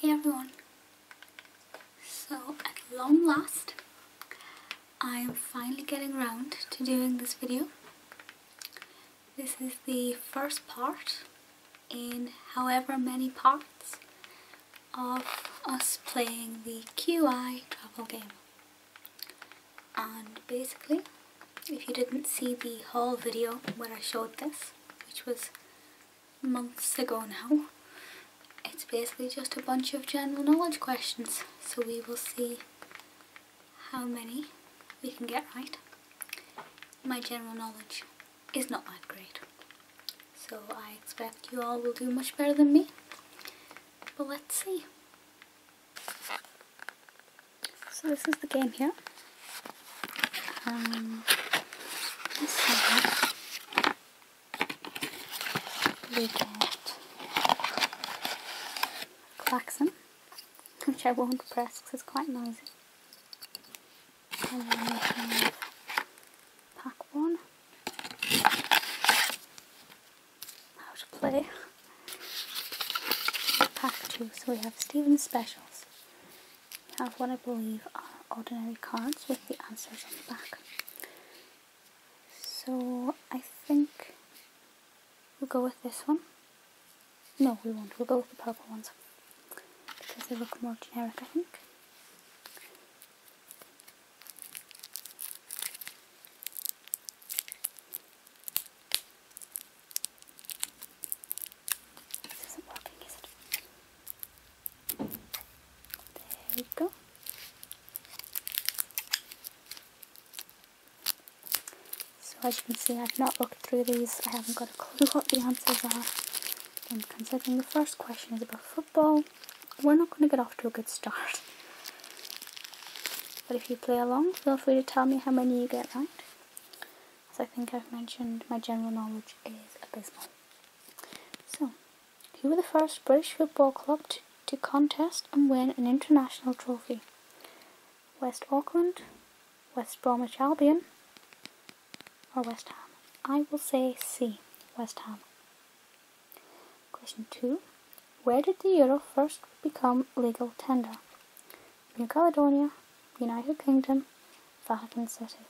Hey everyone! So at long last I am finally getting around to doing this video. This is the first part in however many parts of us playing the QI travel game. And basically if you didn't see the whole video where I showed this, which was months ago now. It's basically just a bunch of general knowledge questions, so we will see how many we can get right. My general knowledge is not that great, so I expect you all will do much better than me, but let's see. So this is the game here we um, get Claxon, which I won't press because it's quite noisy. pack one, how to play. Pack two, so we have Steven's specials have what I believe are ordinary cards with the answers on the back. So I think we'll go with this one. No, we won't. We'll go with the purple ones because they look more generic, I think. There you go. So as you can see, I've not looked through these. I haven't got a clue what the answers are. And considering the first question is about football, we're not going to get off to a good start. But if you play along, feel free to tell me how many you get right as I think I've mentioned, my general knowledge is abysmal. So, who were the first British football club to, to contest and win an international trophy? West Auckland, West Bromwich Albion, or West Ham? I will say C, West Ham. Question 2. Where did the euro first become legal tender? New Caledonia, United Kingdom, Vatican City.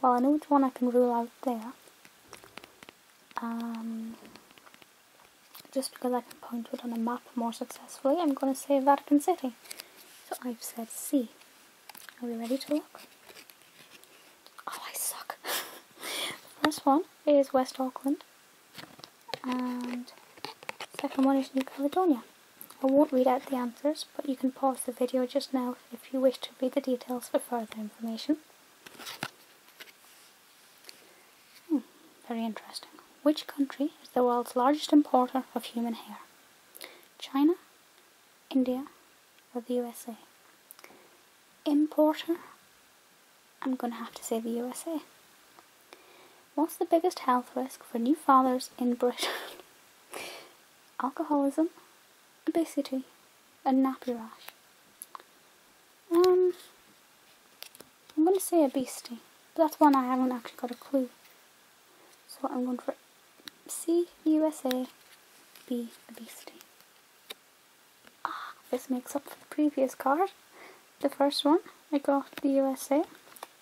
Well, I know which one I can rule out there. Um, just because I can point to it on a map more successfully, I'm going to say Vatican City. So I've said C. Are we ready to look? Oh, I suck. First one is West Auckland, and second one is New Caledonia. I won't read out the answers, but you can pause the video just now if you wish to read the details for further information. Hmm, very interesting. Which country is the world's largest importer of human hair? China, India, or the USA? Importer? I'm going to have to say the USA. What's the biggest health risk for new fathers in Britain? alcoholism, obesity, and nappy rash. Um, I'm going to say obesity, but that's one I haven't actually got a clue. So I'm going for C, USA, B, obesity. Ah, this makes up for the previous card. The first one, I got the USA,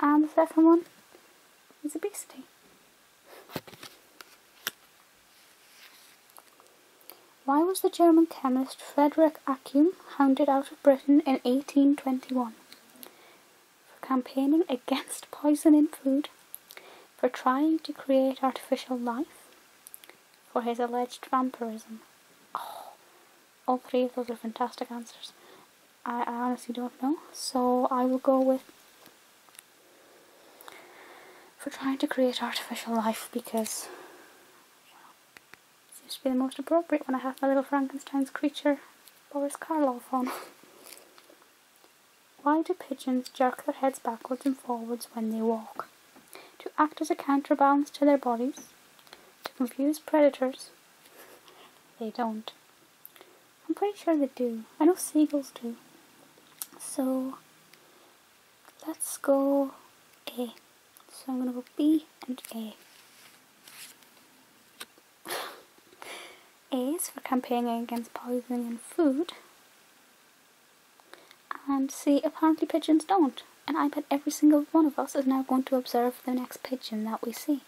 and the second one is obesity. Why was the German chemist Frederick Acum hounded out of Britain in 1821? For campaigning against poison in food, for trying to create artificial life, for his alleged vampirism. Oh, all three of those are fantastic answers. I, honestly don't know. So I will go with for trying to create artificial life because it seems to be the most appropriate when I have my little Frankenstein's creature Boris Karloff on. Why do pigeons jerk their heads backwards and forwards when they walk? To act as a counterbalance to their bodies? To confuse predators? They don't. I'm pretty sure they do. I know seagulls do. So let's go A. So I'm gonna go B and A. A is for campaigning against poisoning in food. And C, apparently pigeons don't. And I bet every single one of us is now going to observe the next pigeon that we see.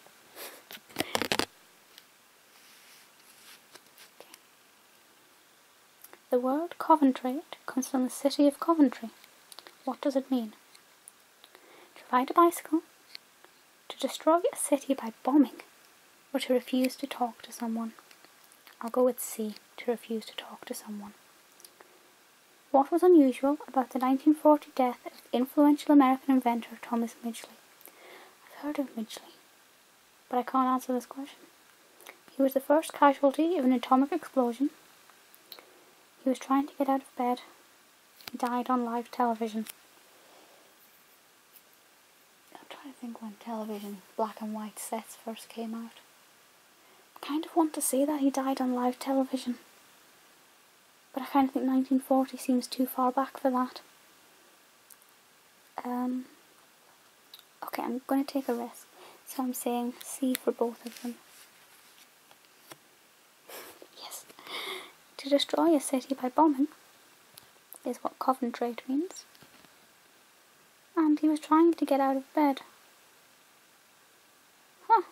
The word Coventry comes from the city of Coventry. What does it mean? To ride a bicycle, to destroy a city by bombing, or to refuse to talk to someone. I'll go with C, to refuse to talk to someone. What was unusual about the 1940 death of influential American inventor Thomas Midgley? I've heard of Midgley, but I can't answer this question. He was the first casualty of an atomic explosion. He was trying to get out of bed. He died on live television. I'm trying to think when television black and white sets first came out. I kind of want to see that he died on live television but I kind of think 1940 seems too far back for that. Um, okay, I'm going to take a risk, so I'm saying C for both of them. yes, to destroy a city by bombing is what Coventry means. And he was trying to get out of bed. Huh,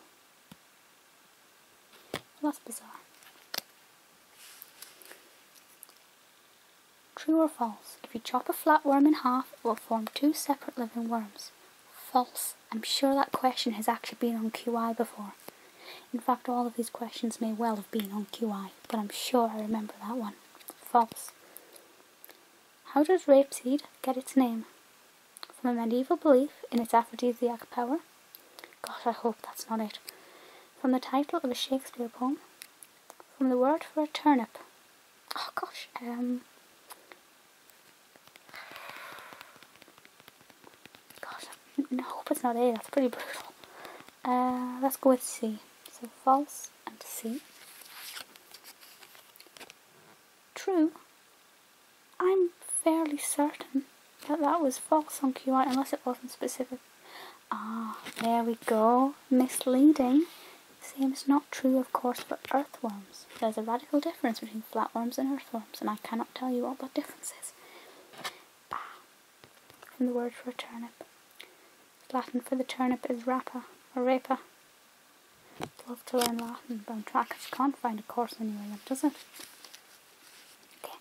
that's bizarre. True or false? If you chop a flatworm in half, it will form two separate living worms. False. I'm sure that question has actually been on QI before. In fact, all of these questions may well have been on QI, but I'm sure I remember that one. False. How does rapeseed get its name? From a medieval belief in its aphrodisiac power, God, I hope that's not it. From the title of a Shakespeare poem. From the word for a turnip. Oh gosh, um, Gosh, I hope it's not A, that's pretty brutal. Uh, let's go with C. So false and C. True I'm fairly certain that that was false on QI, unless it wasn't specific. Ah, there we go. Misleading. Same is not true, of course, for earthworms. There's a radical difference between flatworms and earthworms, and I cannot tell you what that difference is. Ah, from the word for a turnip. Latin for the turnip is rapa, or i love to learn Latin, but I'm trackers can't find a course anywhere that does it. Okay.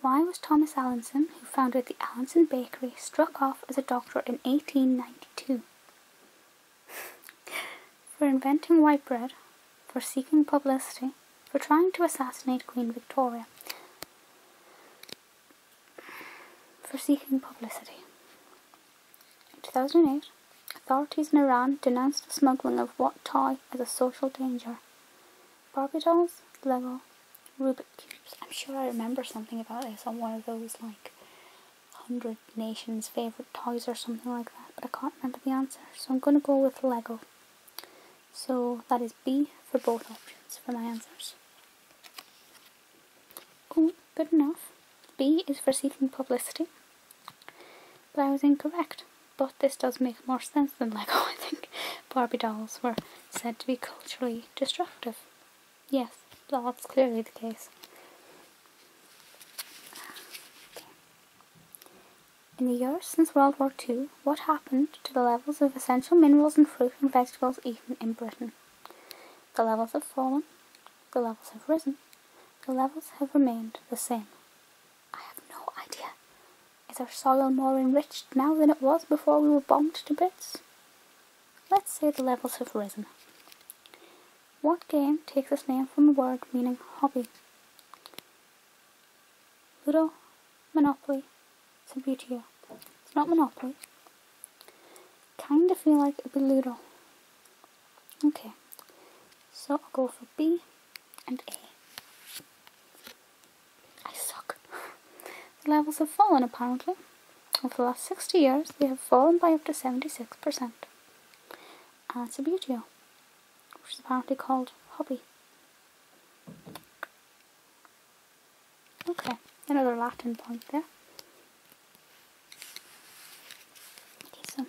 Why was Thomas Allinson, who founded the Allinson Bakery, struck off as a doctor in 1892? for inventing white bread, for seeking publicity, for trying to assassinate Queen Victoria, for seeking publicity. In 2008, authorities in Iran denounced the smuggling of what toy as a social danger. Barbie dolls, Lego, Rubik's cubes. I'm sure I remember something about this on one of those like hundred nations favorite toys or something like that, but I can't remember the answer, so I'm gonna go with Lego. So that is B for both options for my answers. Oh, good enough. B is for seeking publicity but I was incorrect. But this does make more sense than Lego, I think. Barbie dolls were said to be culturally destructive. Yes, that's clearly the case. In the years since World War II, what happened to the levels of essential minerals and fruit and vegetables eaten in Britain? The levels have fallen, the levels have risen, the levels have remained the same. I have no idea. Is our soil more enriched now than it was before we were bombed to bits? Let's say the levels have risen. What game takes its name from a word meaning hobby? Ludo, Monopoly, it's a beauty. It's not Monopoly. Kinda feel like a would Okay, so I'll go for B and A. I suck. the levels have fallen apparently. Over the last 60 years, they have fallen by up to 76%. And it's a beautio, which is apparently called hobby. Okay, another Latin point there. Okay, so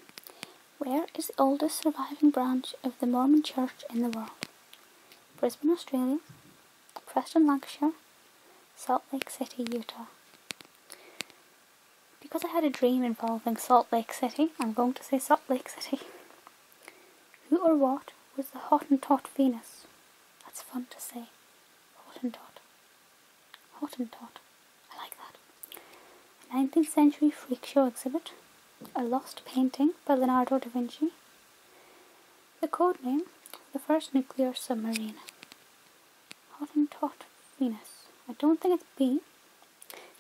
where is the oldest surviving branch of the Mormon Church in the world? Brisbane, Australia, Preston, Lancashire, Salt Lake City, Utah. Because I had a dream involving Salt Lake City, I'm going to say Salt Lake City. Who or what was the Hottentot Venus? That's fun to say. Hottentot. Hottentot. I like that. 19th century freak show exhibit, a lost painting by Leonardo da Vinci, the code name, the first nuclear submarine, Hottentot Venus. I don't think it's B.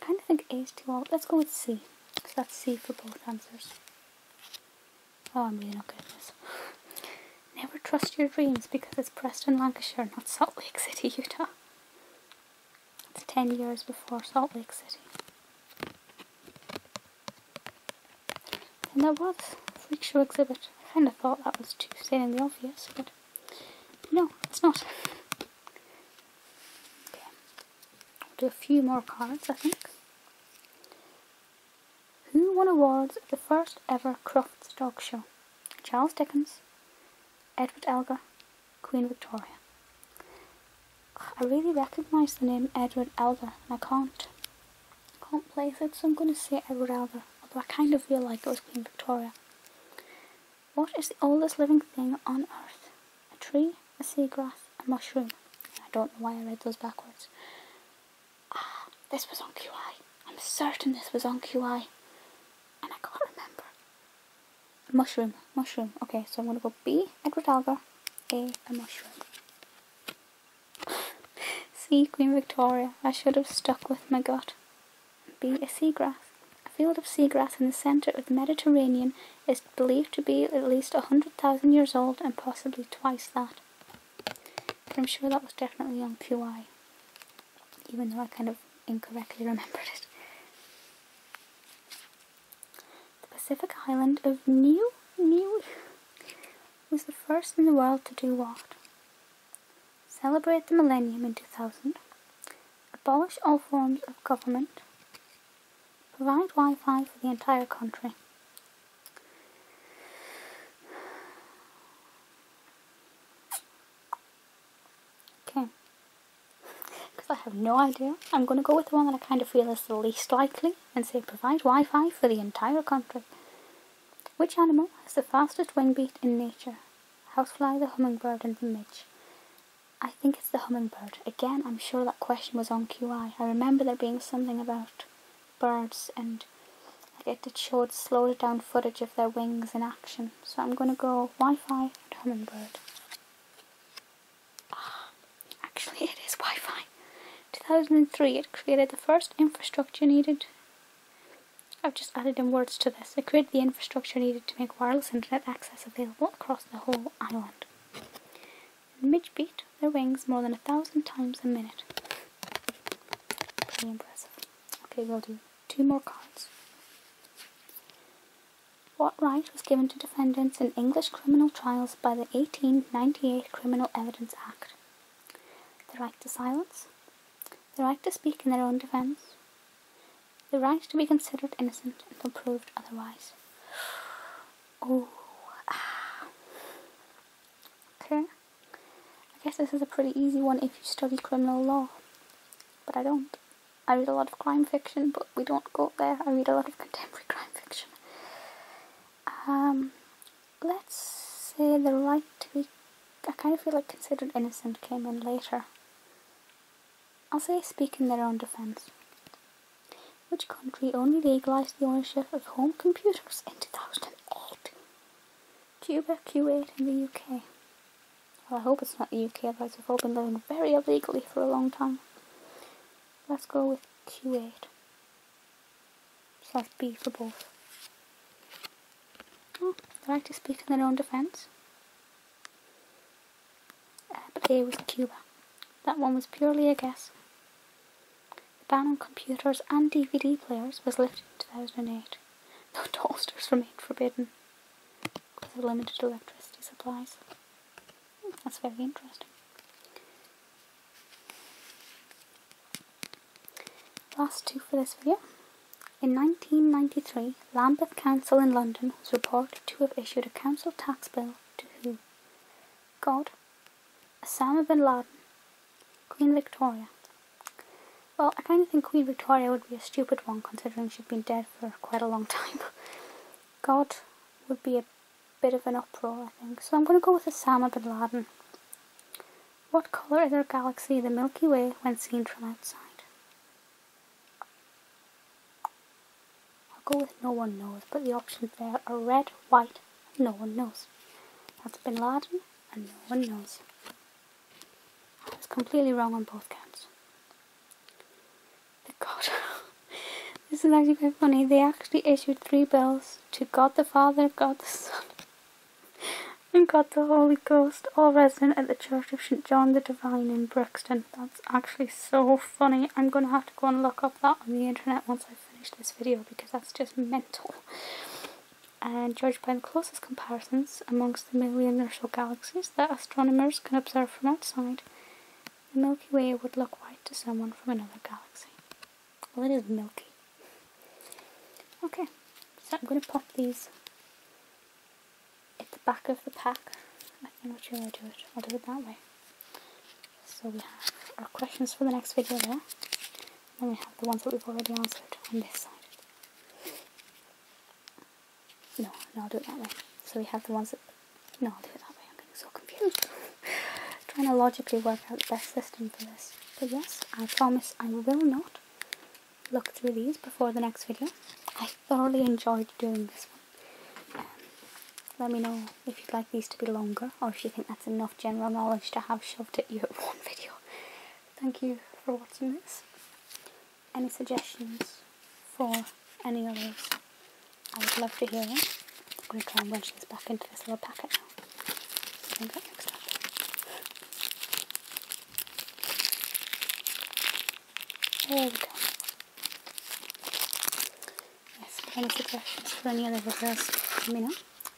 I kind of think A is too old. Let's go with C. So that's C for both answers. Oh, I'm really not good at this. Never trust your dreams because it's Preston, Lancashire, not Salt Lake City, Utah. It's 10 years before Salt Lake City. And there was freak show exhibit. I kind of thought that was too stating the obvious, but no, it's not. Okay. I'll do a few more cards, I think. Who won awards at the first ever Crofts Dog Show? Charles Dickens, Edward Elgar, Queen Victoria. I really recognise the name Edward Elder, and I can't, can't place it, so I'm going to say Edward Elder, although I kind of feel like it was Queen Victoria. What is the oldest living thing on Earth? A tree, a seagrass, a mushroom. I don't know why I read those backwards. Ah, this was on QI. I'm certain this was on QI. And I can't remember mushroom, mushroom. Okay, so I'm gonna go B, Edward Algar, A, mushroom. C, Queen Victoria. I should have stuck with my gut. B, a seagrass. A field of seagrass in the centre of the Mediterranean is believed to be at least 100,000 years old and possibly twice that. I'm sure that was definitely on QI, even though I kind of incorrectly remembered it. The Pacific island of Niue, Niue was the first in the world to do what? Celebrate the millennium in 2000, abolish all forms of government, provide Wi-Fi for the entire country. Okay. Because I have no idea. I'm going to go with the one that I kind of feel is the least likely and say provide Wi-Fi for the entire country. Which animal has the fastest wingbeat in nature? How Housefly, the hummingbird, and the midge. I think it's the hummingbird. Again, I'm sure that question was on QI. I remember there being something about birds and I get it short, slowed down footage of their wings in action. So I'm going to go Wi-Fi and hummingbird. Ah, actually it is Wi-Fi. 2003, it created the first infrastructure needed. I've just added in words to this. It created the infrastructure needed to make wireless internet access available across the whole island. The midge beat their wings more than a thousand times a minute. Pretty impressive. Okay, we'll do two more cards. What right was given to defendants in English criminal trials by the 1898 Criminal Evidence Act? The right to silence, the right to speak in their own defence, the right to be considered innocent until proved otherwise. Oh, ah. okay. I guess this is a pretty easy one if you study criminal law, but I don't. I read a lot of crime fiction, but we don't go there. I read a lot of contemporary crime fiction. Um, let's say the right to be. I kind of feel like considered innocent came in later. I'll say speak in their own defence. Which country only legalised the ownership of home computers in 2008? Cuba, Kuwait, and the UK. Well, I hope it's not the UK, otherwise we've all been living very illegally for a long time. Let's go with Q8. Slash B for both. Oh, they like to speak in their own defence. Uh, but A was Cuba. That one was purely a guess. The ban on computers and DVD players was lifted in 2008, though toasters remained forbidden because of limited electricity supplies. that's very interesting. Last two for this video. In 1993, Lambeth Council in London was reported to have issued a council tax bill to who? God, Osama bin Laden, Queen Victoria. Well, I kind of think Queen Victoria would be a stupid one considering she'd been dead for quite a long time. God would be a bit of an uproar, I think. So I'm going to go with Osama bin Laden. What colour is our galaxy, the Milky Way, when seen from outside? I'll go with no one knows, but the options there are red, white, no one knows. That's bin Laden, and no one knows. I was completely wrong on both counts. God, this is actually quite funny. They actually issued three bills to God the Father, God the Son, and God the Holy Ghost, all resident at the Church of St John the Divine in Brixton. That's actually so funny. I'm going to have to go and look up that on the internet once I finish this video because that's just mental. And judged by the closest comparisons amongst amongst the million or so galaxies that astronomers can observe from outside, the Milky Way would look white to someone from another galaxy. Well, it is milky. Okay, so I'm going to pop these at the back of the pack. I think what should I do it? I'll do it that way. So we have our questions for the next video there. Then we have the ones that we've already answered on this side. No, no, I'll do it that way. So we have the ones that... No, I'll do it that way. I'm getting so confused. Trying to logically work out the best system for this. But yes, I promise I will not look through these before the next video. I thoroughly enjoyed doing this one. Um, let me know if you'd like these to be longer or if you think that's enough general knowledge to have shoved at you at one video. Thank you for watching this any suggestions for any of those, I would love to hear them. I'm going to try and wedge this back into this little packet now. we go. Yes, any suggestions for any other videos, let me know.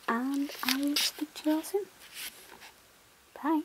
And I will speak to you all soon. Bye.